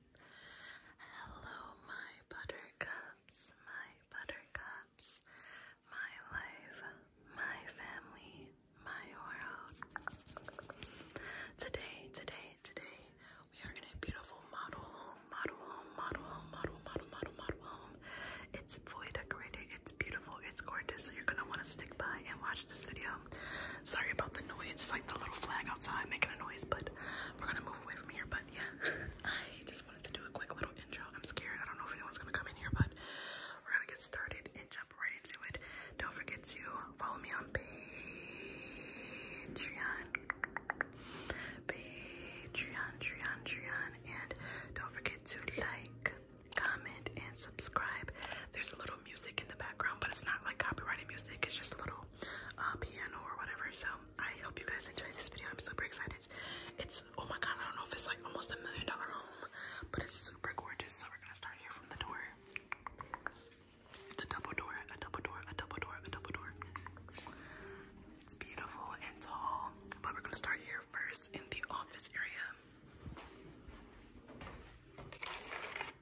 Hello, my buttercups, my buttercups, my life, my family, my world. Today, today, today, we are in a beautiful model home, model home, model home, model, model, model, model home. It's fully decorated, it's beautiful, it's gorgeous, so you're gonna wanna stick by and watch this video. Sorry about the noise. It's like the little flag outside making a noise, but we're gonna move away from here. But yeah, I just wanted to do a quick little intro. I'm scared. I don't know if anyone's gonna come in here, but we're gonna get started and jump right into it. Don't forget to follow me on Patreon. Patreon, Patreon, Patreon, and don't forget to like, comment, and subscribe. There's a little music in the background, but it's not like copyrighted music. It's just a little uh, piano or whatever. So I hope you guys enjoy this video. I'm super excited. It's oh my god, I don't know if it's like almost a million dollar home, but it's super gorgeous. So we're gonna start here from the door. It's a double door, a double door, a double door, a double door. It's beautiful and tall, but we're gonna start here first in the office area.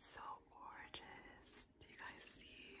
It's so gorgeous. Do you guys see?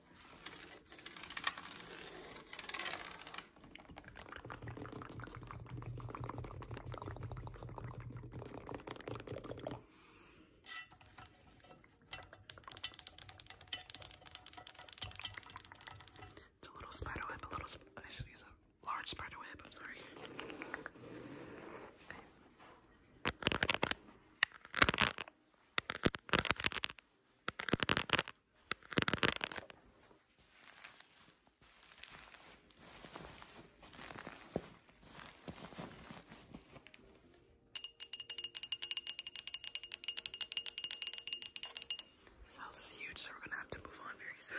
It's a little spider web, a little, I should a large spider web, I'm sorry. This house is huge, so we're gonna have to move on very soon.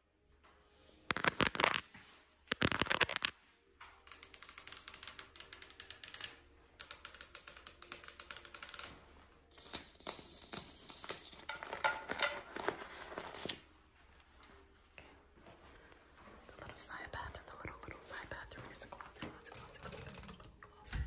The little side bathroom, the little little side bathroom. Here's a closet, closet, closet, closet, closet.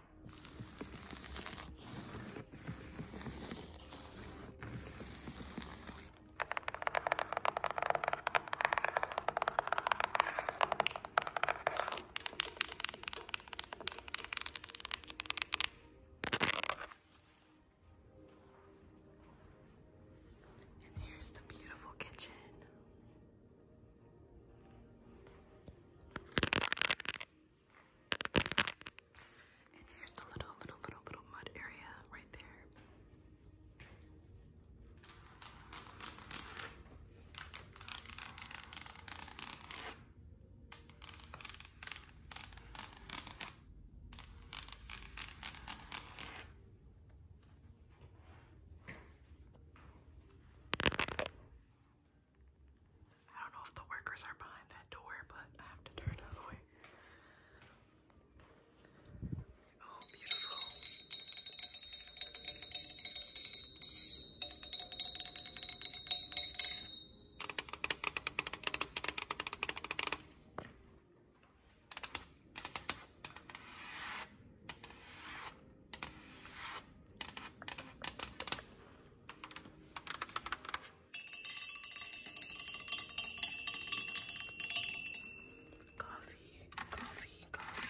And here's the beautiful kitchen. And here's the little, little, little, little mud area right there. I don't know if the workers are behind that door, but I have to turn the way. Oh, beautiful. Coffee, coffee, coffee,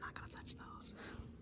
not gonna touch those.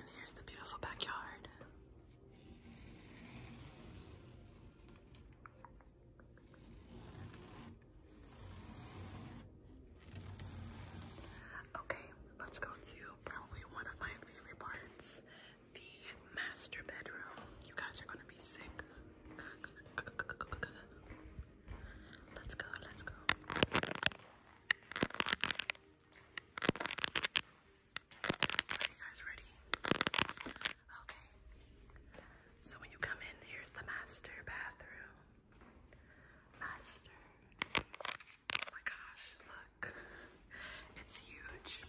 And here's the beautiful backyard. Okay, let's go to probably one of my favorite parts the master bedroom. You guys are going to be sick Let's go, let's go. Are you guys ready? Okay. So when you come in, here's the master bathroom. Master. Oh my gosh, look. It's huge.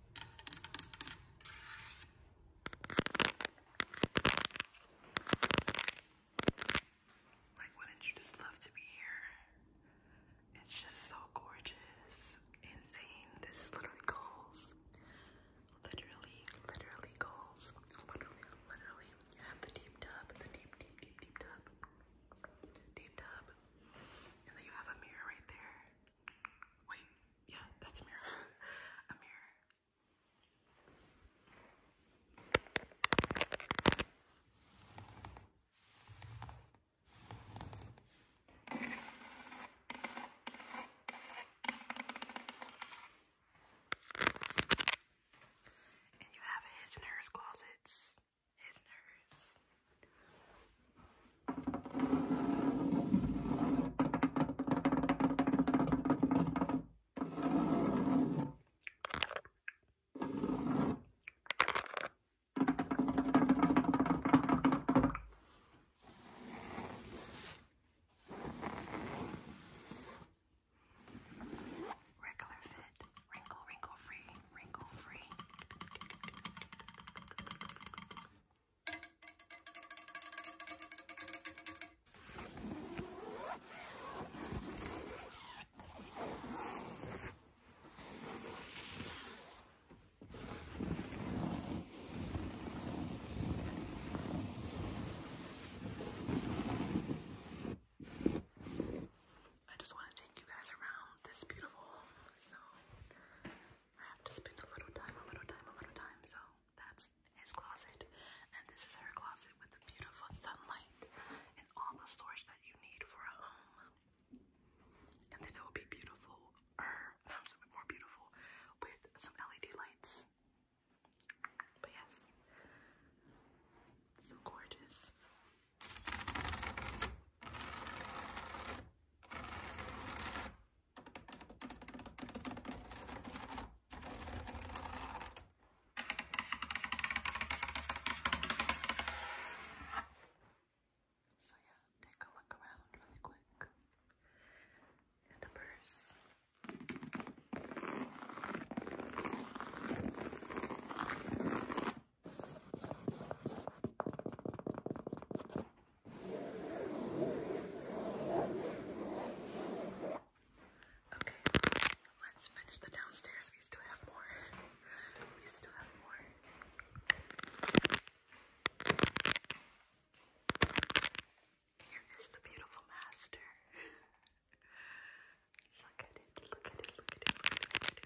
Like, wouldn't you just love to be here? It's just so gorgeous, insane. This is literally goals. Literally, literally goals. Literally, literally. You have the deep tub, the deep, deep, deep, deep tub. Deep tub. And then you have a mirror right there. Wait, yeah, that's a mirror. a mirror. And you have his and hers closets his nerves. Regular fit, wrinkle, wrinkle free wrinkle free. I just want to take you guys around this beautiful so I have to spend a little time, a little time, a little time. So that's his closet, and this is her closet with the beautiful sunlight and all the storage that you need for a home. And then it will be beautiful, or er, not something more beautiful, with some LED lights. But yes, so gorgeous. So, yeah, take a look around really quick. And a purse. Okay, let's finish the downstairs. We still have more. We still have more. Here is the beautiful master. look at it, look at it, look at it, look at it.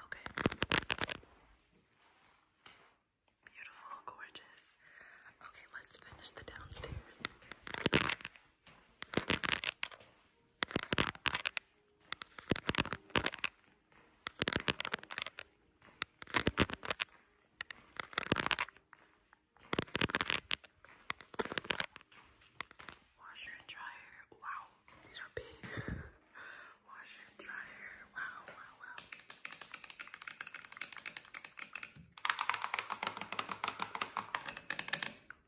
Okay. Beautiful, gorgeous. Okay, let's finish the downstairs. Washer and dryer. Wow, these are big. Washer and dryer. Wow, wow, wow.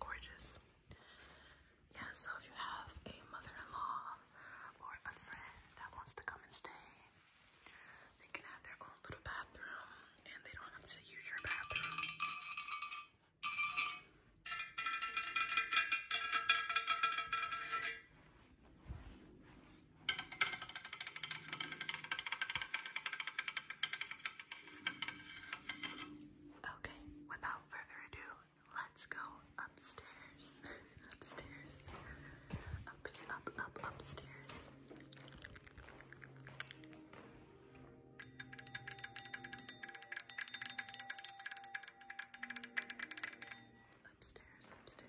Gorgeous. Yeah, so if you have a mother-in-law or a friend that wants to come and stay, they can have their own little bathroom and they don't have to use your bathroom. Okay, without further ado, let's go upstairs. upstairs. Up, up, up, upstairs upstairs, upstairs.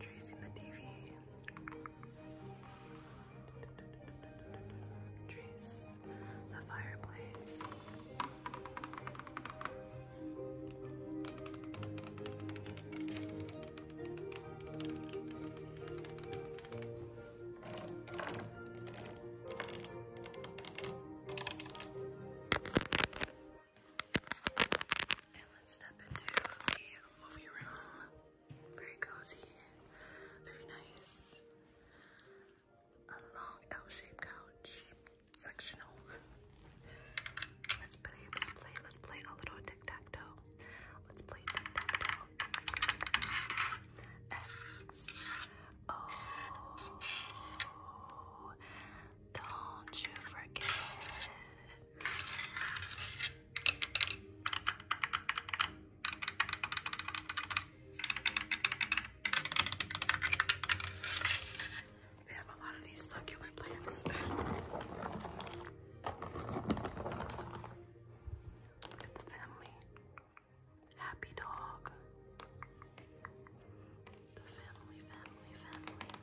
Tracing the TV. Trace the fireplace. And let's step into the movie room. Very cozy, very nice. A long L-shaped couch, sectional. Let's play, let's play, let's play a little tic tac toe. Let's play tic tac toe. Oh, don't you forget. They have a lot of these succulent plants. the family. Happy dog. The family, family, family.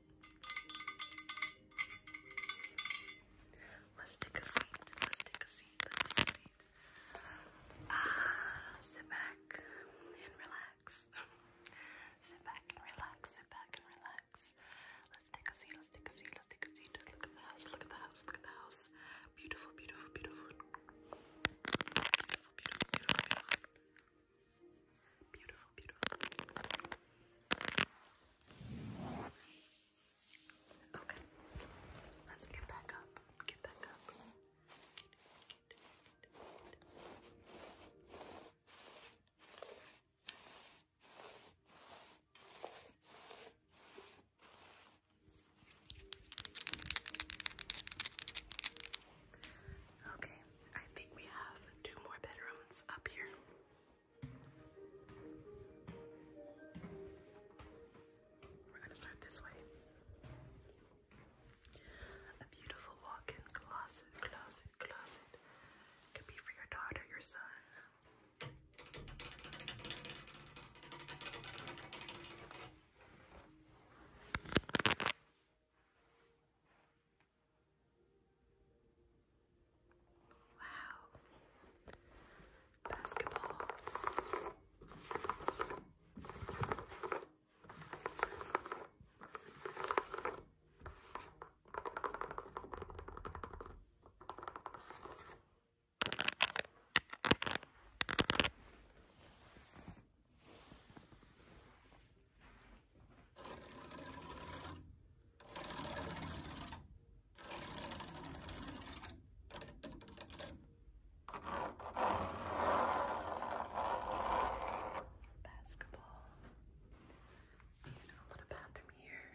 Let's take a seat. Let's take a seat. Let's take a seat. Ah, sit back and relax. sit back and relax. Sit back and relax. Let's take a seat. Let's take a seat. Let's take a seat. Look at the house. Look at the house. Look at the house. Beautiful, beautiful, beautiful. Beautiful, beautiful, beautiful, beautiful. Beautiful, Okay, let's get back up. Get back up. Okay, I think we have two more bedrooms up here. We're going to start this way. A beautiful walk-in closet, closet, closet. Could be for your daughter, your son. Wow. Basketball. Basketball. And a little bathroom here.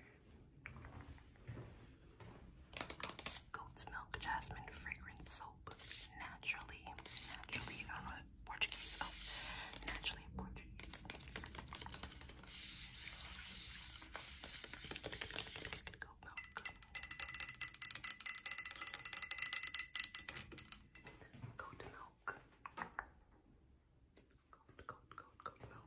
Goat's milk jasmine fragrance soap. Naturally, naturally, I Portuguese. Oh, naturally Portuguese. Go milk. Goat milk. Goat, goat, milk.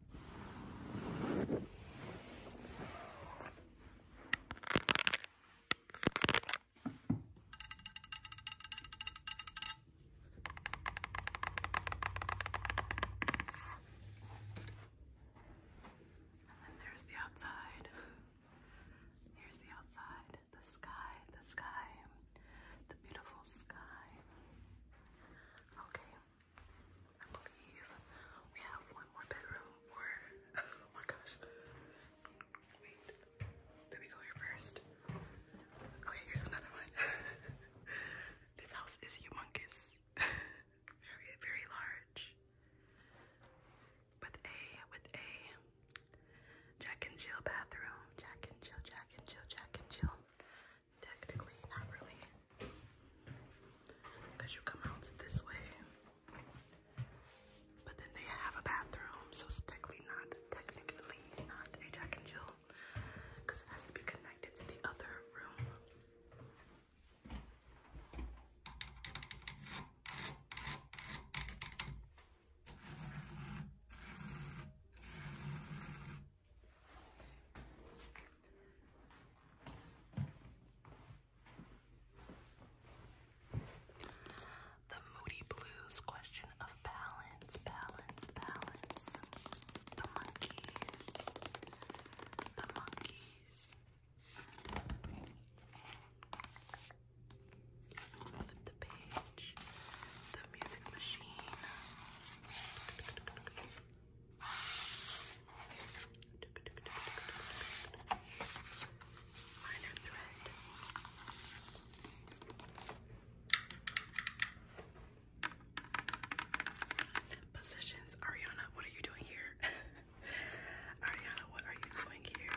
And there's the outside. Here's the outside. The sky, the sky, the beautiful sky. Okay, I believe we have one more bedroom oh my gosh. Wait. Did we go here first? Okay, here's another one. this house is humongous. very, very large. With a with a Jack and Jill bathroom. Jack and Jill, Jack and Jill, Jack and Jill. Technically, not really. Because you come out this way. But then they have a bathroom, so it's technically not technically not a Jack and Jill. Because it has to be connected to the other room. The Moody Blues question of balance, balance, balance. The monkeys. The monkeys. Flip the page. The music machine. Minor thread. Positions. Ariana, what are you doing here? Ariana, what are you doing here?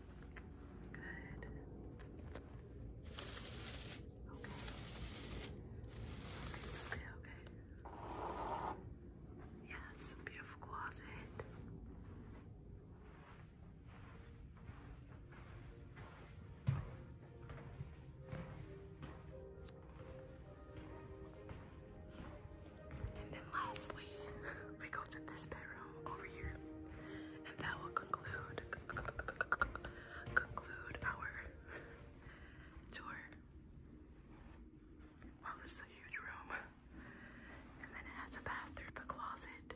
Good. Okay. Okay, okay, okay. Yes, beautiful closet. And then lastly, we go to this bedroom over here. And that will conclude conclude our tour. Wow, this is a huge room. And then it has a bathroom, the closet.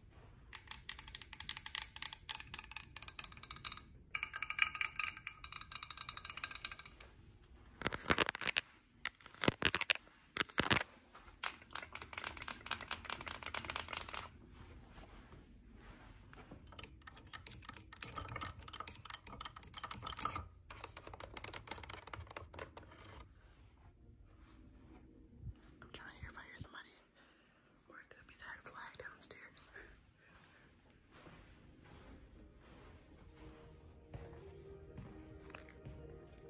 I'm trying to hear if I hear somebody downstairs.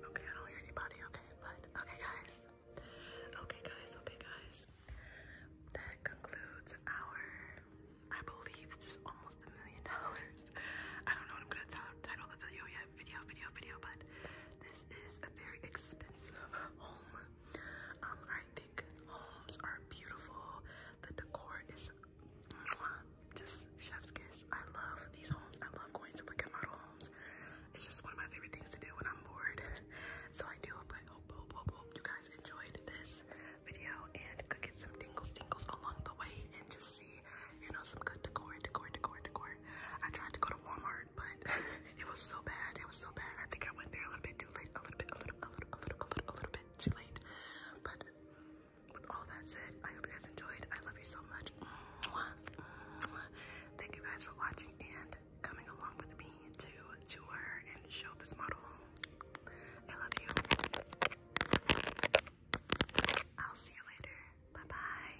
Okay, I don't hear anybody, okay, but okay guys. Okay guys, okay guys. That concludes our I believe this is almost a million dollars. I don't know what I'm gonna title the video yet, video, video, video, but this is a very expensive home um, I think homes are beautiful. The decor is just chef's kiss. I love these homes. I love going to look at model homes. It's just one of my favorite things to do when I'm bored. So I do hope, hope, hope, hope, you guys enjoyed this video and could get some tingles, tingles along the way and just see, you know, some good decor, decor, decor, decor. I tried to go to Walmart, but It was so bad. It was so bad. I think I went there a little bit too late. A little bit, a little, a little, a little, a little, a little bit too late. But with all that said, I hope you guys enjoyed. I love you so much. Thank you guys for watching and coming along with me to tour and show this model I love you. I'll see you later. Bye bye.